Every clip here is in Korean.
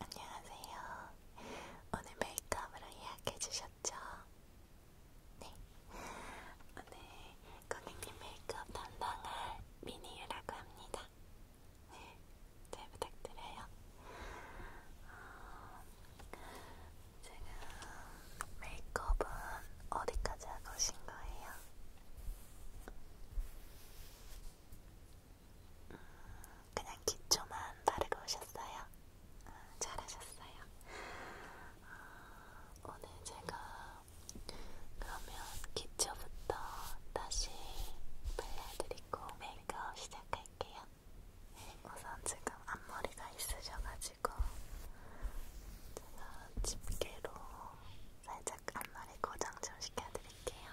안녕하세요. 오늘 메이크업으로 예약해주셨죠? 네. 오늘 고객님 메이크업 담당할 미니유라고 합니다. 네, 잘 부탁드려요. 어, 지금 메이크업은 어디까지 하고 오신 거예요? 그냥 기초만 바르고 오셨어요? 아, 잘하셨어요. 아, 오늘 제가 그러면 기초부터 다시 발라드리고 메이크업 시작할게요. 우선 지금 앞머리가 있으셔가지고 제가 집게로 살짝 앞머리 고정 좀 시켜드릴게요.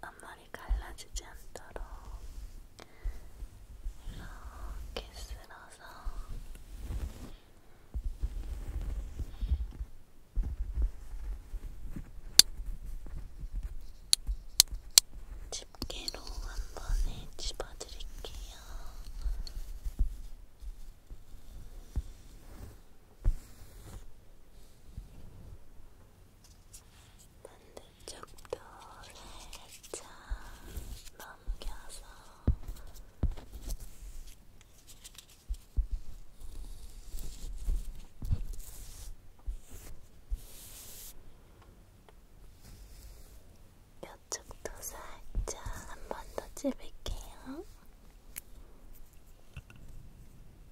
앞머리 갈라지지 않도록 이렇게 쓸어서 집게로 한 번에 집어드릴게요. 이렇게 반대쪽도 살짝 넘겨서 이쪽도 살짝 한 번 더 찝을게요.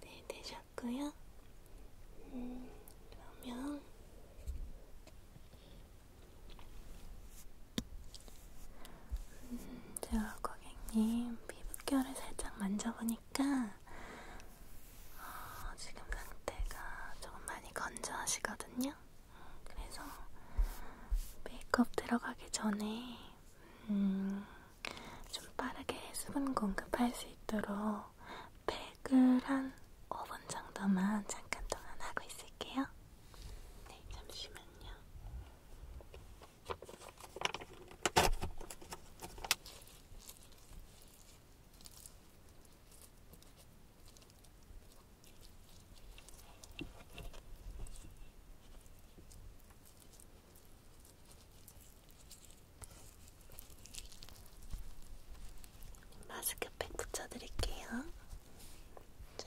네, 되셨고요. 음, 그러면 음, 제가 고객님 피부결을 살짝 만져보니까 어, 지금 상태가 조금 많이 건조하시거든요. 그래서 메이크업 들어가기 전에 음, 좀 빠르게 수분 공급할 수 있도록 팩을 한 5분 정도만 잠깐 동안 하고 있을게요. 네, 잠시만요. 마스크팩 붙여드릴게요. 자.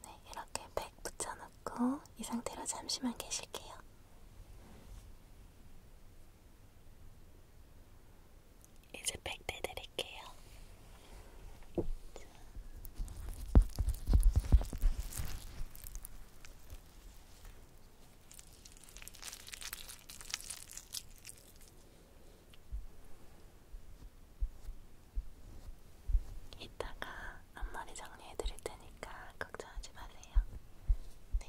네, 이렇게 백 붙여놓고 이 상태로 잠시만 계실게요. 이제 팩대 드릴게요. 이따가 앞머리 정리해 드릴 테니까 걱정하지 마세요. 네.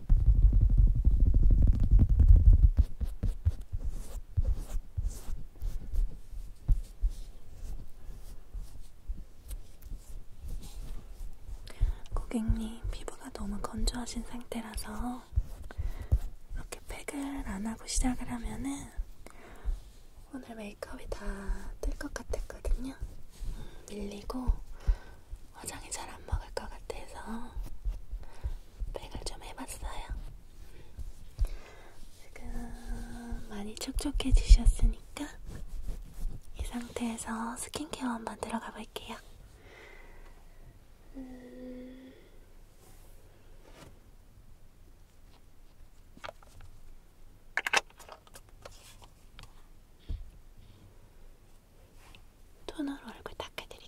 고객님 피부가 너무 건조하신 상태라서 이렇게 팩을 안 하고 시작을 하면은 오늘 메이크업이 다 뜰 것 같았거든요. 음, 밀리고 화장이 잘 안 먹을 것 같아서 백을 좀 해봤어요. 지금 많이 촉촉해지셨으니까 이 상태에서 스킨케어 한번 들어가 볼게요. 음... 토너로 얼굴 닦아드릴게요.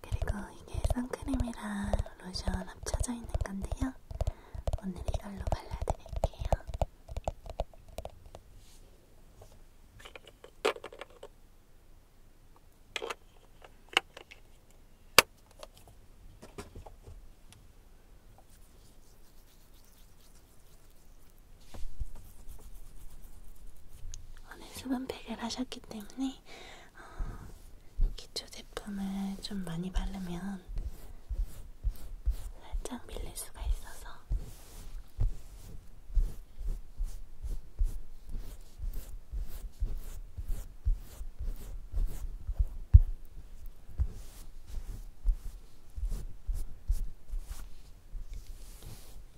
그리고 이게 선크림이랑 로션 합쳐져 있는 건데요. 오늘 이걸로 발라드릴게요. 오늘 수분팩을 하셨기 때문에 어, 기초 제품을 좀 많이 바르면 살짝 밀릴 수가 있어서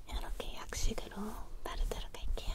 이렇게 약식으로 바르도록 할게요.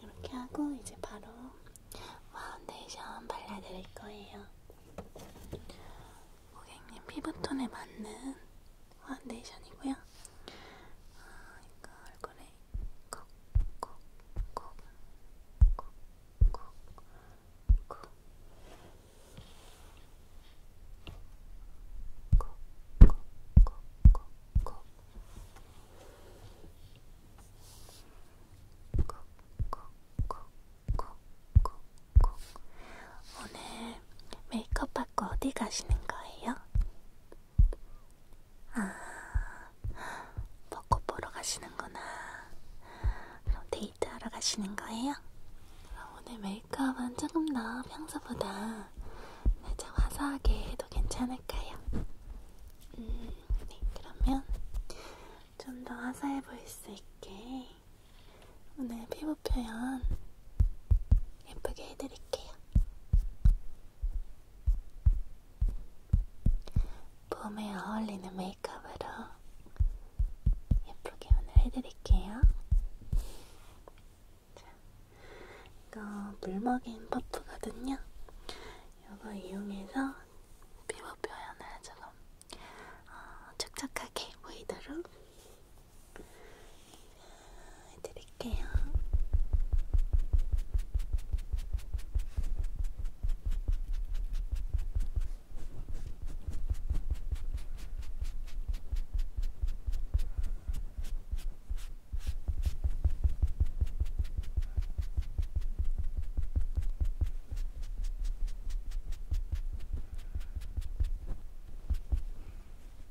이렇게 하고 이제 바로 파운데이션 발라드릴 거예요. 고객님 피부톤에 맞는 파운데이션이고요. 아, 이거 얼굴에 콕콕콕콕콕콕콕콕 콕콕콕콕콕 오늘 메이크업 받고 어디 가시는 거예요? 아, 벚꽃 보러 가시는구나. 그럼 데이트하러 가시는 거예요? 그럼 오늘 메이크업은 조금 더 평소보다 살짝 화사하게 해도 괜찮을까요? 음, 네, 그러면 좀 더 화사해 보일 수 있게 오늘 피부 표현 예쁘게 해드릴게요. 봄에 어울리는 메이크업으로 예쁘게 오늘 해드릴게요. 자, 이거 물먹인 퍼프거든요. 이거 이용해서 피부 표현을 조금 어, 촉촉하게 보이도록 해드릴게요.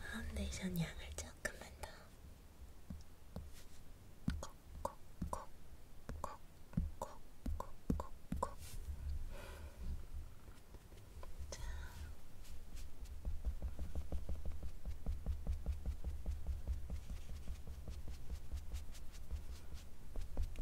파운데이션 양을 조금만 더 콕콕콕콕콕콕콕콕 자.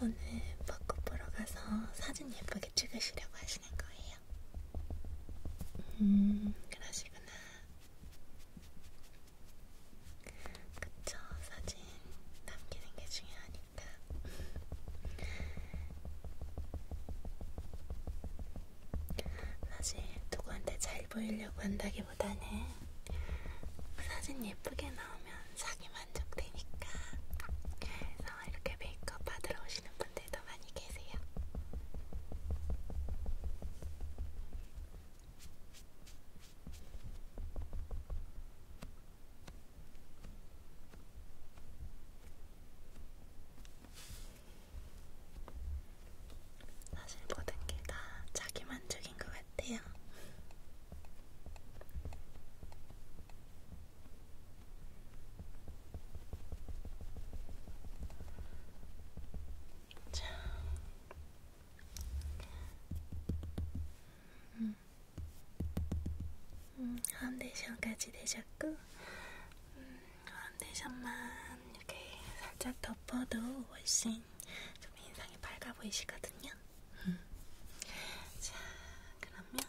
오늘 벚꽃 보러 가서 사진 예쁘게 찍으시려고 하시는 거예요. 음, 그러시구나. 그쵸, 사진 남기는 게 중요하니까. 사실 누구한테 잘 보이려고 한다기보다는 사진 예쁘게 나오면 자기 만족되니까 그래서 그래서 이렇게 메이크업 받으러 오시는 분들도 많이 계세요. 사실 모든 게 다 자기 만족인 것 같아요. 자. 음. 음, 파운데이션까지 되셨고 음, 파운데이션만 이렇게 살짝 덮어도 훨씬 좀 인상이 밝아 보이시거든요. 음. 자, 그러면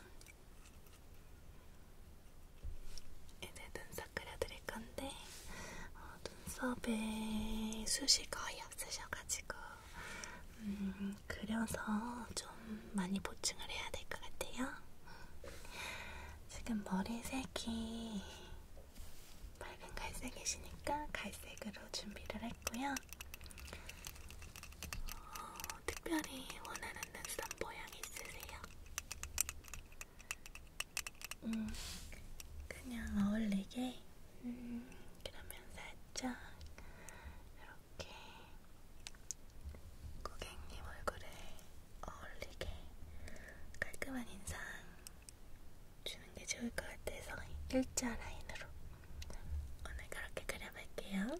이제 눈썹 그려드릴 건데 어, 눈썹에 숱이 거의 없으셔가지고 음, 그려서 좀 많이 보충을 해야 될 것 같아요. 지금 머리색이 밝은 갈색이시니까 갈색으로 준비를 했고요. 어, 특별히 원하는 눈썹 모양 있으세요? 음, 그냥 어울리게. 음, 그러면 살짝 이렇게 고객님 얼굴에 어울리게 깔끔한 인상 주는 게 좋을 것 같아서 일자 라인으로 오늘 그렇게 그려볼게요.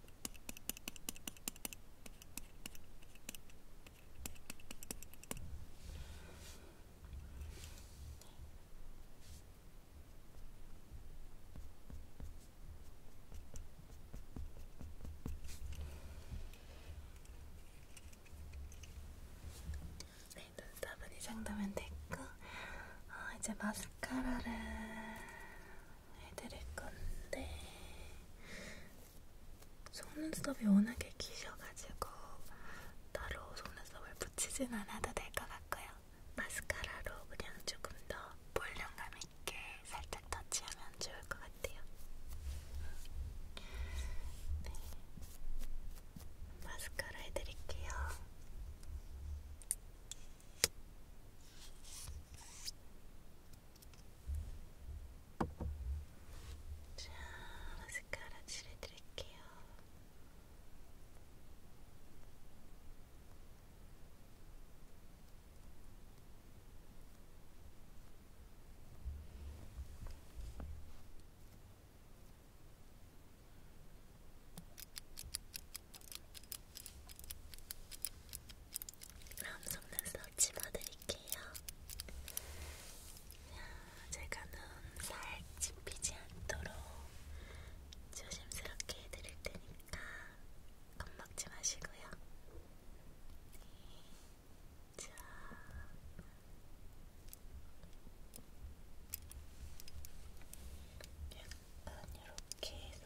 네, 눈썹은 이 정도면 됐고, 어, 이제 마스카라를 해드릴 건데 속눈썹이 워낙에 기셔가지고 따로 속눈썹을 붙이진 않아도 될 것 같고요. 마스카라로 그냥 조금 더 볼륨감 있게 살짝 터치하면 좋을 것 같아요. 네. 마스카라 해드릴게요. 자, 마스카라 칠해드릴게요. 자, 다음 속눈썹 집어드릴게요. 제가 눈살 짚히지 않도록 조심스럽게 해드릴 테니까 겁먹지 마시고요. 자. 약간 이렇게 해서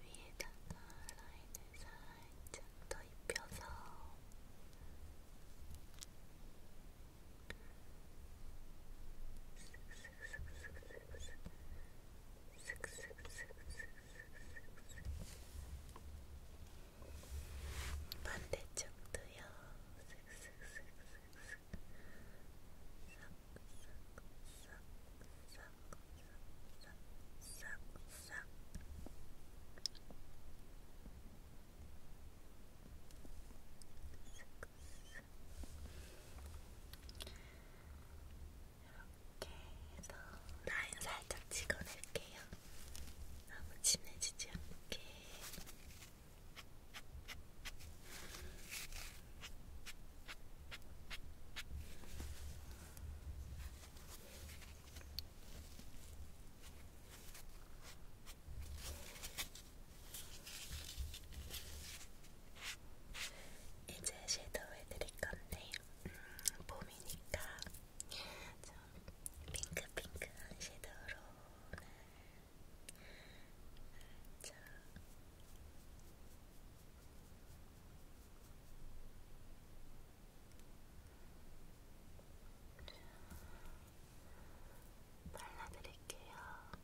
위에다가 라인을 살짝 더 입혀서 반대쪽도요. 슥슥슥슥슥. 싹싹싹싹. 싹싹싹싹 이렇게 해서 라인 살짝 찍어낼게요. 너무 진해지지 않게. 이제 섀도우 해드릴 건데, 음, 봄이니까 좀 핑크핑크한 섀도우로 오늘 자, 발라드릴게요. 음.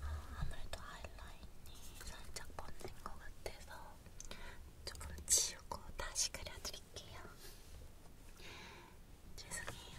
아, 아무래도 하이라인이 살짝 번진 것 같아서 조금 지우고 다시 그려드릴게요. 죄송해요.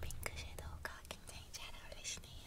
핑크 섀도우가 굉장히 잘 어울리시네요. 네,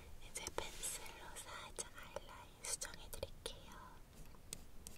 이제 펜슬로 살짝 아이라인 수정해 드릴게요. 이렇게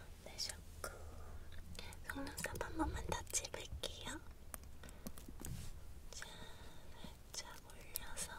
내셨고 네, 속눈썹 한 번만 더 찝을게요. 자, 살짝 올려서 자,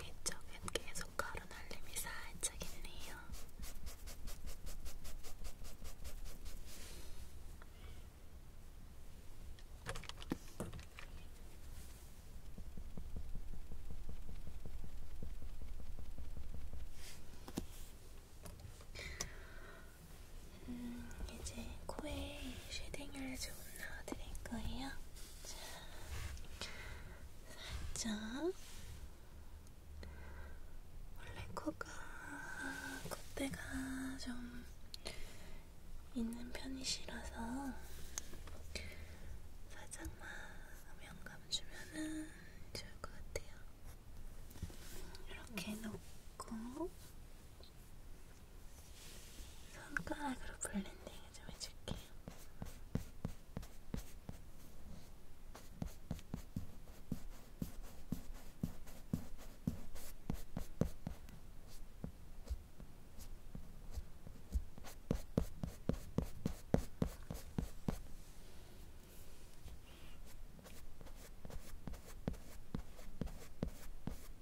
이쪽엔 계속 가루 날림이 살짝 있네요. 음, 이제 코에 쉐딩을 좀 넣어드릴 거예요. 자, 살짝. 원래 코가, 콧대가 좀 있는 편이시라서 살짝만 명감 주면은 좋을 것 같아요. 이렇게 놓고 손가락으로 블렌딩을 좀 해줄게요.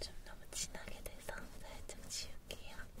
좀 너무 진하게 돼서 살짝 지울게요. 음.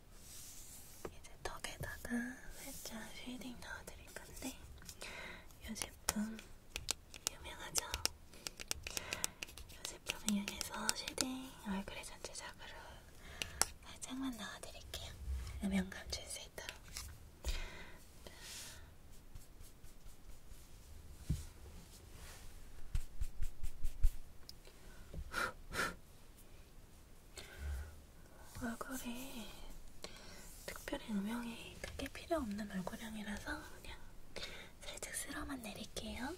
이제 턱에다가 살짝 쉐이딩 넣어드릴 건데 이 제품 유명하죠? 이 제품을 이용해서 쉐이딩 얼굴에 전체적으로 살짝만 넣어드릴게요. 음영감 줄수 있도록. 얼굴이 특별히 음영이 크게 필요 없는 얼굴형이라서 그냥 살짝 쓸어만 내릴게요.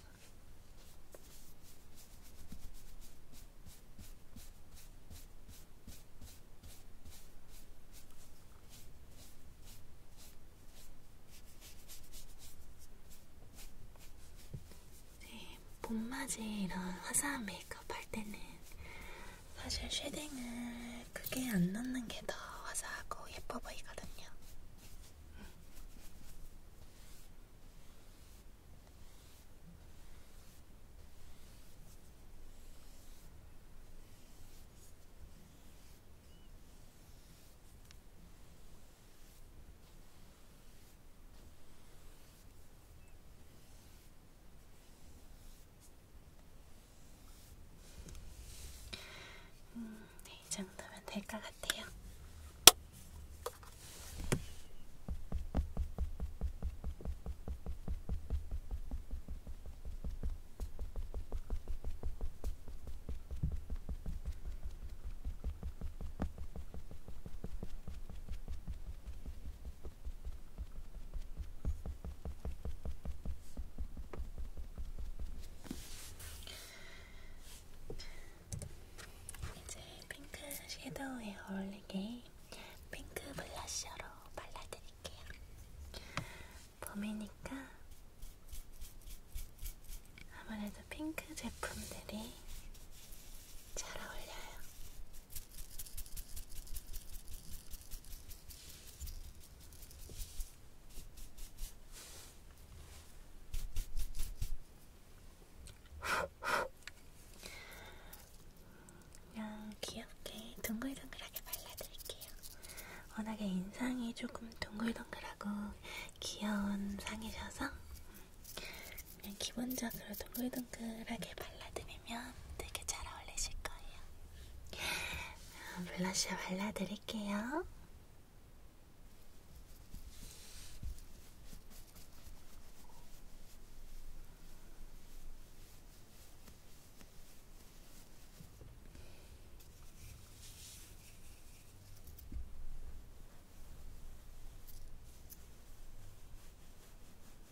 이제 네, 몸맞이 이런 화사한 메이크업 할 때는 사실 쉐딩을 크게 안 넣는 게 더 화사하고 예뻐 보이거든요. 음, 네, 이 정도면 될 것 같아요. 이제 핑크 섀도우에 어울리게 핑크 블러셔로 발라드릴게요. 봄이니까 아무래도 핑크 제품들이 잘 어울려요. 그냥 귀엽게 동글동글하게 발라드릴게요. 워낙에 인상이 조금 동글동글하고 귀여운 상이셔서 그냥 기본적으로 동글동글하게 발라드리면 되게 잘 어울리실 거예요. 블러셔 발라드릴게요.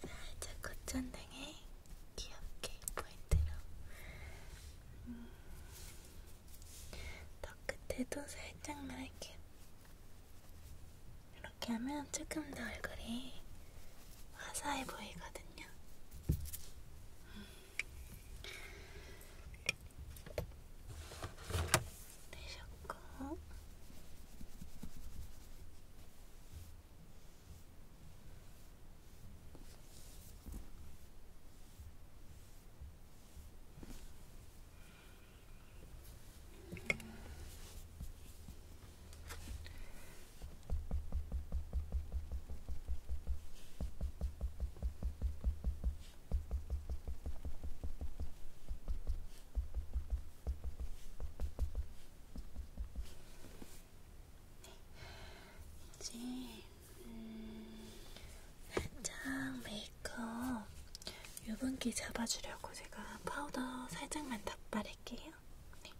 살짝 겉전등에 귀엽게 포인트로 음. 턱 끝에도 살짝만 할게요. 이렇게 하면 조금 더 얼굴이 화사해 보이거든요. 되셨고. 음. 이제 음, 살짝 메이크업 유분기 잡아주려고 제가 파우더 살짝만 덧바를게요. 네.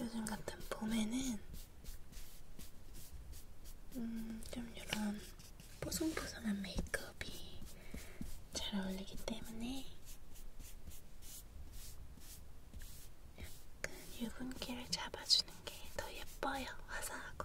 요즘 같은 봄에는 음, 좀 이런 뽀송뽀송한 메이크업이 잘 어울리기 때문에 약간 유분기를 잡아주는 게 더 예뻐요. 화사하고.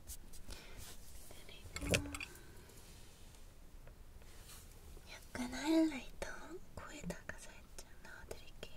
약간 하이라이터 코에다가 살짝 넣어드릴게요.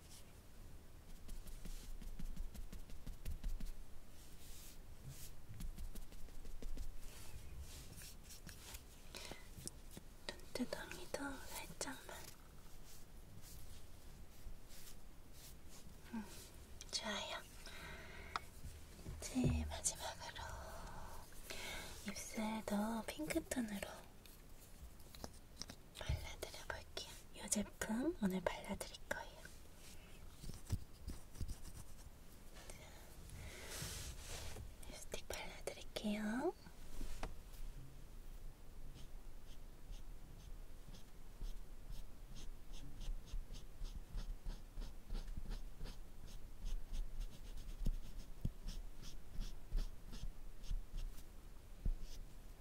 눈두덩이도 살짝만. 음, 좋아요. 이제 마지막으로 입술도 핑크톤으로 발라드려볼게요. 이 제품 오늘 발라드릴 거예요. 립스틱 발라드릴게요.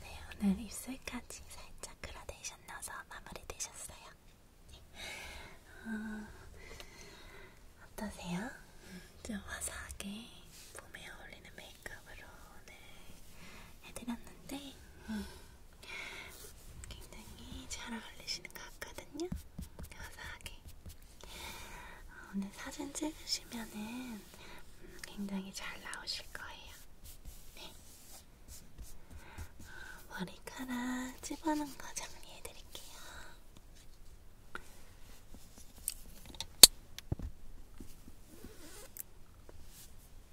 네, 오늘 입술까지 살짝 그라데이션 넣어서 마무리 되셨어요. 네. 어, 어떠세요? 좀 화사하게 봄에 어울리는 메이크업으로 오늘 해드렸는데 음. 굉장히 잘 어울리시는 것 같거든요. 화사하게. 어, 오늘 사진 찍으시면은 음, 굉장히 잘 나오실 거예요. 네. 어, 머리카락 집어넣은 거 정리해드릴게요.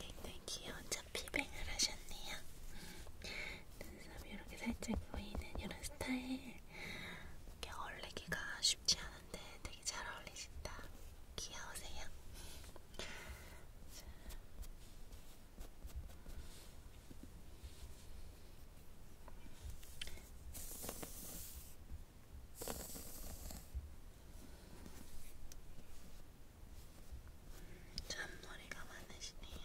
굉장히 귀여운 잡피뱅을 하셨네요. 음. 눈썹이 이렇게 살짝 보이는 이런 스타일. 이렇게 어울리기가 쉽지 않은데 되게 잘 어울리신다. 귀여우세요. 자. 자, 잔머리가 많으시네요.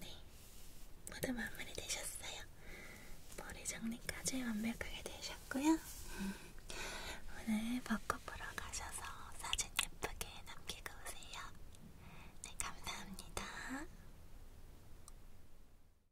네, 모두 마무리 되셨어요. 머리 정리까지 완벽하게 되셨고요. 오늘 벚꽃 보러 가셔서 사진 예쁘게 남기고 오세요. 네, 감사합니다.